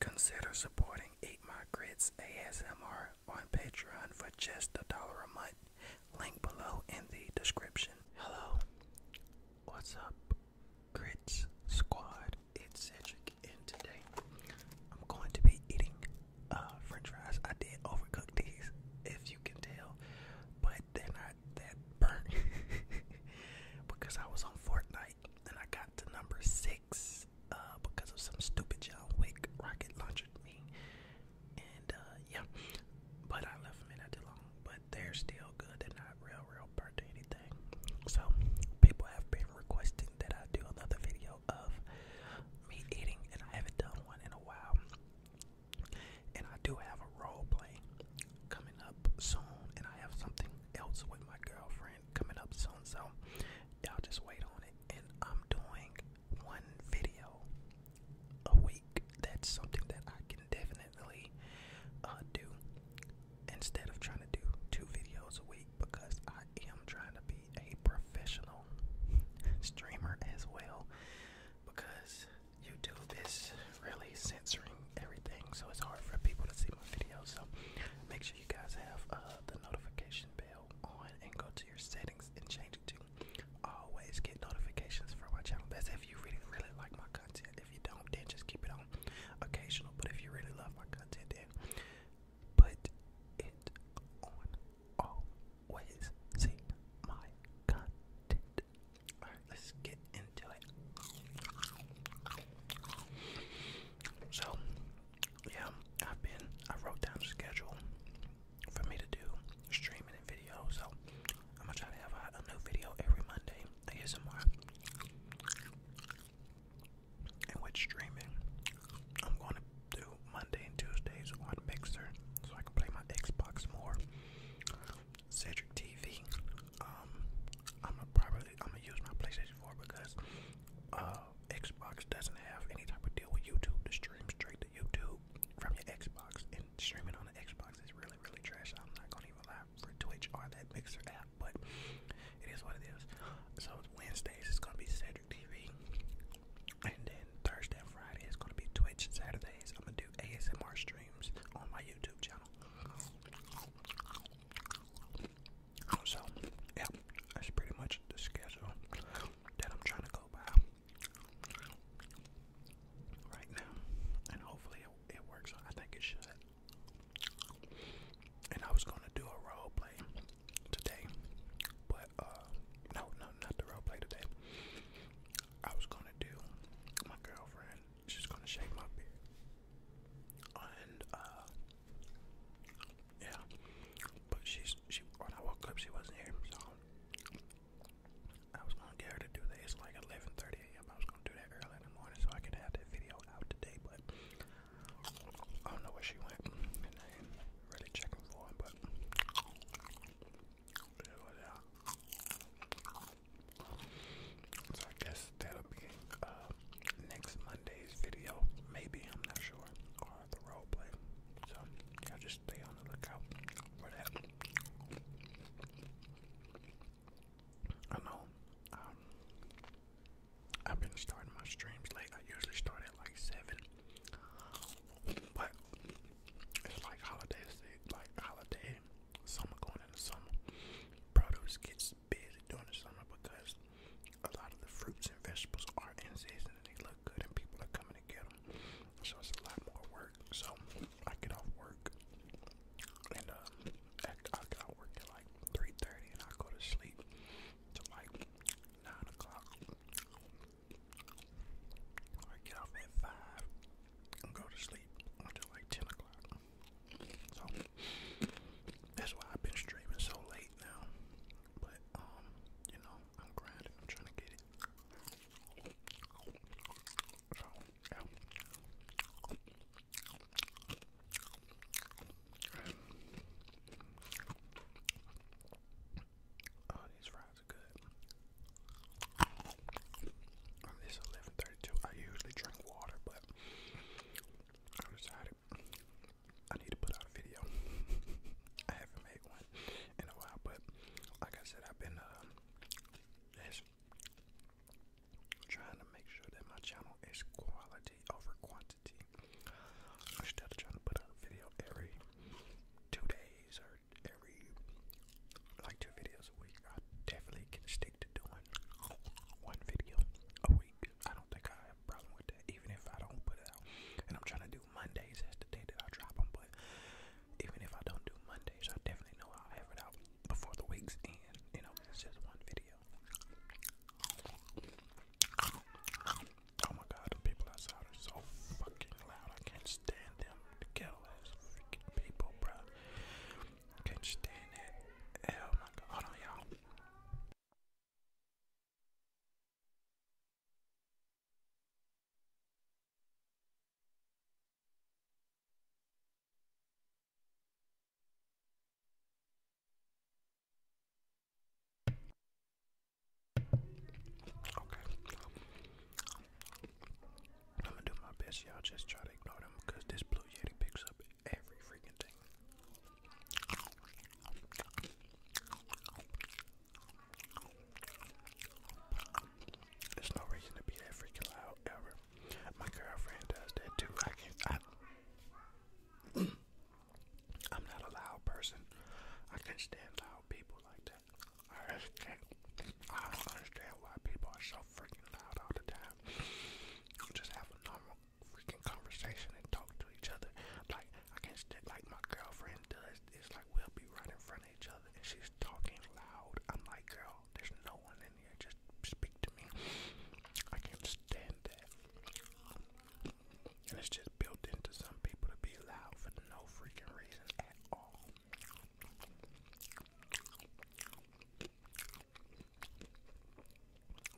Consider supporting Eat My Grits ASMR on Patreon for just a dollar a month. Link below in the description. Hello, what's up, Grits Squad? It's Cedric, and today I'm going to be eating uh, French fries. I did overcook these, if you can tell, but they're not that burnt because I was on Fortnite and I got to number six uh, because of some stupid John Wick rocket launcher me, and uh, yeah, but I left them in not too long. But they're still good. They're not real, real burnt or anything. So people have been requesting that I do another video of me eating, and I haven't done one in a while. And I do have a role play coming up soon, and I have something else with my girlfriend coming up soon. So y'all just wait on it. And I'm doing one video a week. That's something that I can definitely uh, do instead of trying to do two videos a week because I am trying to be a professional streamer as well because YouTube is really censoring everything, so it's hard for people to see my videos. So make sure you guys have uh, the notification bell on and go to your settings and change it to always get notifications for my channel. That's if you really, really like my content. If you don't, then just keep it on occasional. But if you really love my content, then put it on always see my content. Alright, let's get into it. So, yeah, I've been, I wrote down a schedule for me to do streaming and video. So, I'm gonna try to have a, new video every Monday. I get And with streaming, I'm going to do Monday and Tuesdays on Mixer so I can play my Xbox more. Cedric TV. Um, I'm gonna probably I'm gonna use my PlayStation 4 because uh, Xbox doesn't have any type of deal with YouTube to stream straight to YouTube from your Xbox, and streaming on the Xbox is really really trash. I'm not gonna even lie for Twitch or that Mixer app, but it is what it is. So Wednesdays is gonna be Cedric. TV. And then Thursday and Friday is gonna be Twitch. Saturdays I'm gonna do ASMR streams on my YouTube channel. So yeah, that's pretty much the schedule that I'm trying to go by right now. And hopefully it works. I think it should. And I was gonna do a role play today, but uh, no, no, not the role today. I was gonna do my girlfriend. She's gonna shave my beard, and uh, yeah, but she's she when I woke up she wasn't here, so I was gonna get her to do that. like 11:30 a.m. I was gonna do that early in the morning so I could have that video out today, but I don't know where she went. And then really checking for it, but So I guess that'll be uh, next Monday's video, maybe, I'm not sure, or the role So yeah, just stay on the lookout for that. I know, um, I've been starting my streams late. I usually start at like 7 but it's like holidays, like holiday, summer going into summer. Produce gets busy during the summer because a lot of the fruits and vegetables are in season and they look good and people are coming to get them. So it's a lot more work. So I get off work and uh, I, I get off work at like 3.30 and I go to sleep till like 9 o'clock. I get off at five and go to sleep until like ten o'clock. So that's why I've been streaming so late now. But um, you know, I'm grinding. I'm trying to get it. Oh, these fries are good. It's 11:32. I usually drink water, but I decided I need to put out a video. I haven't made one in a while, but like I said, I've been uh, just trying to make sure that my channel is quality over quantity. I should have to to put out a video every two days or every like two videos a week. I definitely can stick to doing one video a week. I don't think I have a problem with that, even if I don't put it out. And I'm trying to do Mondays as the day that I drop them, but even if I don't do Mondays, I definitely know I'll have it out before the week's end. You know, it's just one video. Oh my god, the people outside are so fucking loud. I can't stand them. The ghetto people, bro. Can't stand it. Oh my god, hold on, y'all. Okay. I'm gonna do my best, y'all just try to ignore them because this blue yeti picks up every freaking thing. There's no reason to be that freaking loud ever. My girlfriend does that too. I can't I'm not a loud person. I can't stand loud people like that. I just can't. I don't understand why people are so freaking loud all the time. Just have a normal freaking conversation and talk to each other. Like I can't stand like my girlfriend does. It's like we'll be right in front of each other and she's talking loud. I'm like, girl, there's no one in here. Just speak to me. I can't stand that. And it's just built into some people to be loud for no freaking reason at all.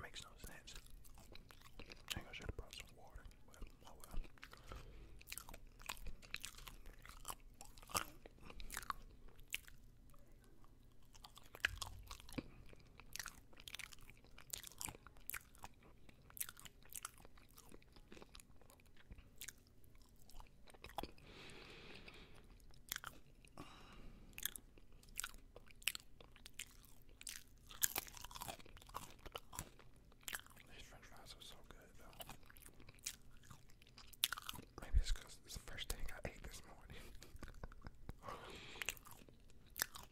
Makes no sense. I think I should have brought some water, these french fries are so good, though. Maybe it's it's the first thing I ate this morning.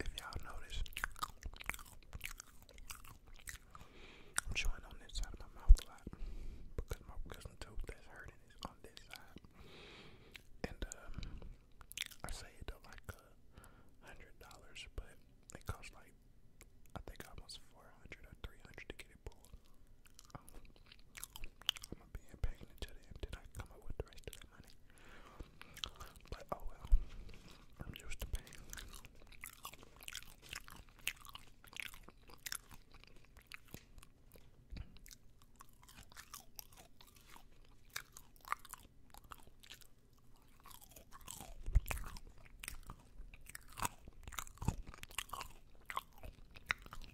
If y'all notice, I'm chewing on this side of my mouth a lot because my wisdom tooth that's hurting is on this side. And um, I saved up like a uh, hundred dollars, but it costs like I think almost four hundred or three hundred to get it pulled. Um, I'm gonna be impacting each other and then I come up with the rest of that money. But oh well, I'm used to paying.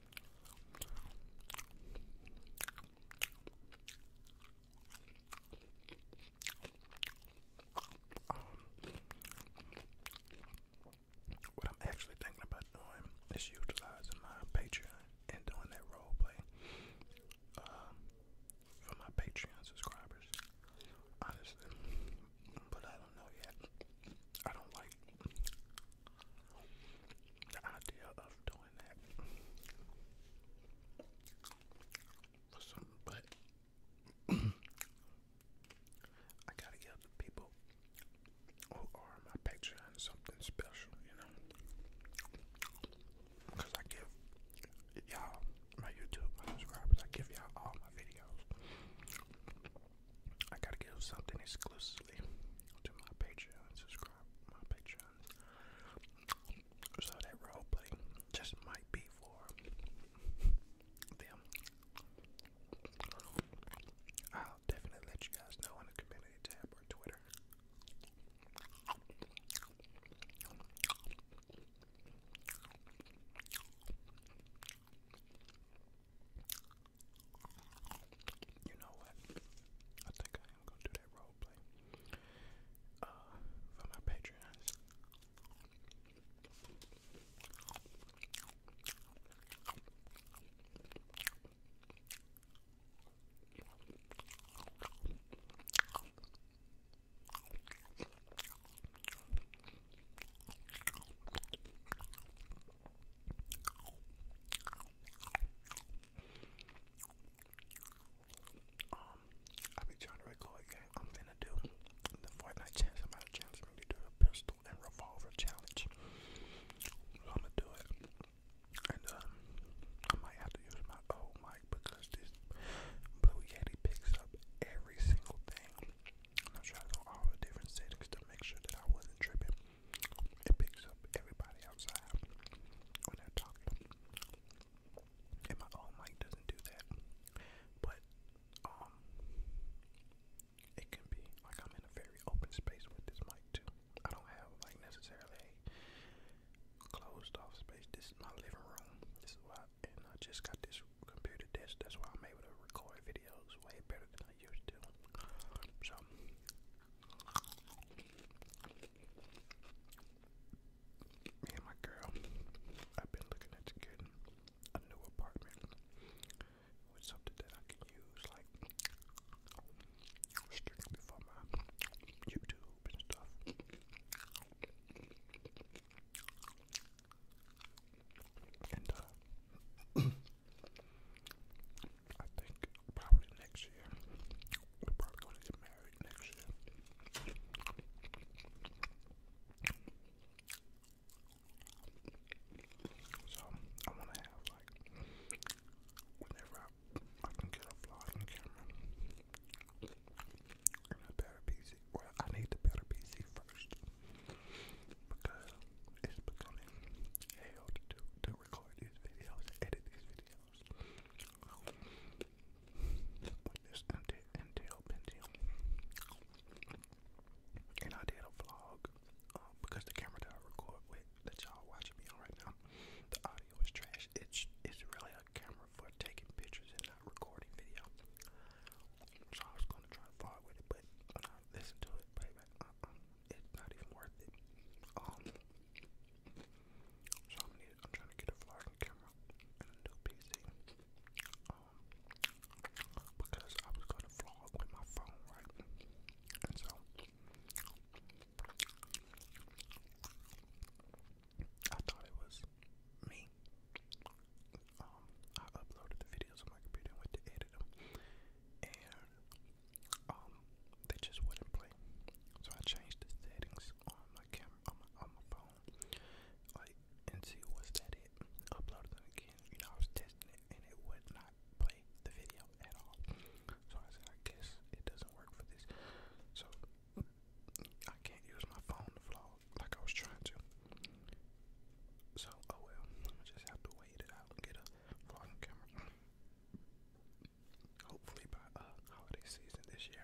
Um, what I'm actually thinking about doing is utilizing my Patreon and doing that role play um, for my Patreon subscribers. Honestly, but I don't know yet. I don't like the idea of doing that but I gotta give the people who are my Patreon something special, you know, because I give y'all my YouTube, my subscribers, I give y'all all my videos. I gotta give something exclusively to my Patreon subscribers. So that roleplay just might be for them. I'll definitely let you guys know on the community tab or Twitter. You know what? I think I am gonna do that role uh, for my patrons. Um, I be trying to record a game I'm going do. challenge, somebody to do a pistol and revolver challenge. I'm gonna do it. And um, I might have to use my old mic because this Blue Yeti picks up every single thing. I'm all the different settings to make sure that I wasn't tripping. It picks up everybody outside when they're And my own mic doesn't do that. But um it can be like I'm in a very open space with this mic too. I don't have like necessarily a closed off space. This is my living room. This is why and I just got this computer desk. That's why I'm able to record videos way better than I used to. So me and my girl, I've been looking at getting a new apartment with something that I can use, like strictly for my YouTube and stuff. And uh I think probably next year. We're probably gonna get married next year. So I wanna have like whenever I can get a vlogging camera. I need the better PC first because it's becoming hell to do record these videos, edit these videos. And I did a vlog um, because the camera that I record with that y'all watching me on right now, the audio is trash. It's it's really a camera for taking pictures and not recording video. So I was gonna try to vlog with it, but when uh, to it, it's not even worth it. Um, so I'm, trying to get a vlogging camera and a new PC. Um, because I was gonna vlog with my phone, right? And so I thought it was me. Um, I uploaded the videos on my computer and went to edit them, and um, they just wouldn't play. So I changed the settings on my camera, on my, on my phone, like, and see was that it. Uploaded them again. You know, I was testing it, and it would not play the video at all. So I said, I guess it doesn't work for this. So I can't use my phone to vlog like I was trying to. So, oh well, just have to wait it out and get a vlogging camera. Hopefully by uh, holiday season this year.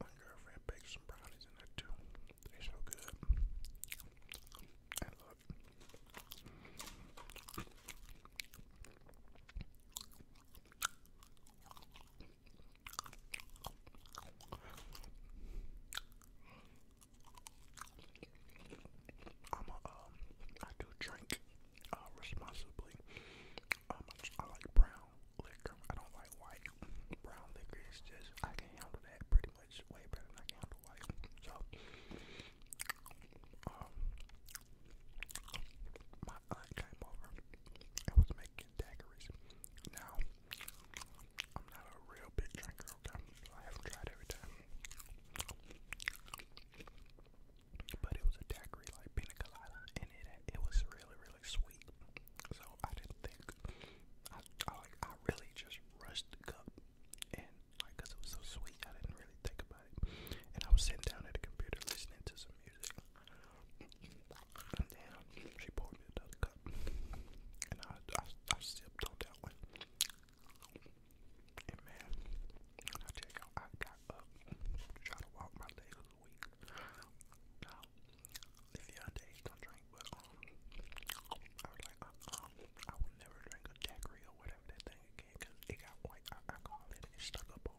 My girlfriend baked some brownies in there too. They so good. And look. I'm um, do drink uh, responsibly. Um, I like brown liquor. I don't like white. Brown liquor is just, I can handle that pretty much way better than I can handle white. So, um, my aunt came over and was making daiquiris. Now, I'm not a real big drinker, okay? I haven't tried every time. But it was a daiquiri like pina colada, and it it was really really sweet. So I didn't think I I, I really just rushed the cup, and like it was so sweet, I didn't really think about it. And I was sitting down at the computer listening to some music, Damn, she poured me another cup. And I, I, sipped on that one. And I check out, I got up, try to walk my legs weak. Now, if you're underage, don't drink, but um, I was like, uh-uh, I would never drink a daiquiri or whatever that thing again, it got white alcohol in it, it stuck up on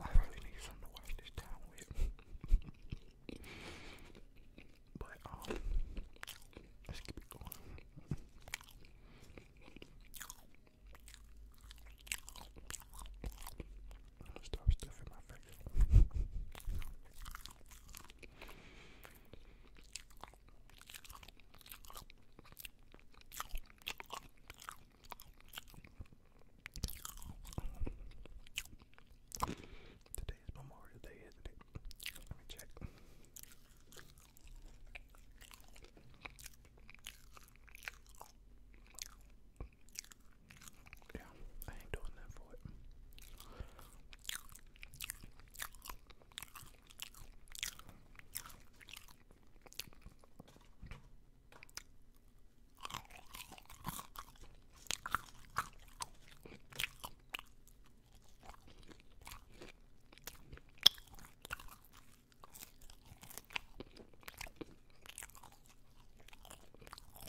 I really need something to wash this down with. but um let's keep it going. Stop stuffing my face. Today is Memorial Day, isn't it? Let me check. Yeah, I ain't doing that for it.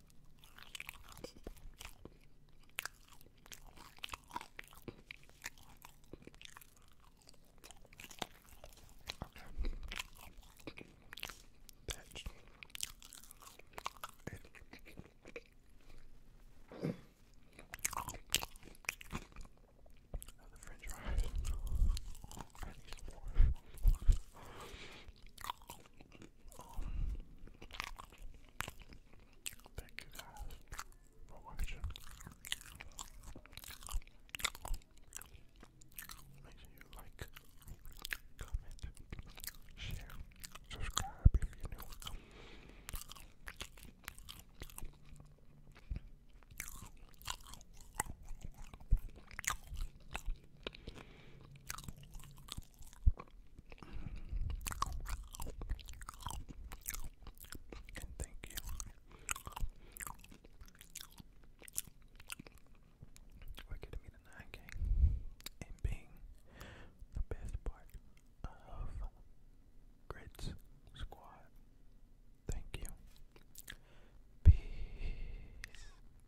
Okay. That's it. the French fries. I need some more thank you guys for watching. Make sure you like, comment, share, subscribe if you're new thank you for getting me to 9K and being the best part of Grits Squad. Thank you. Peace.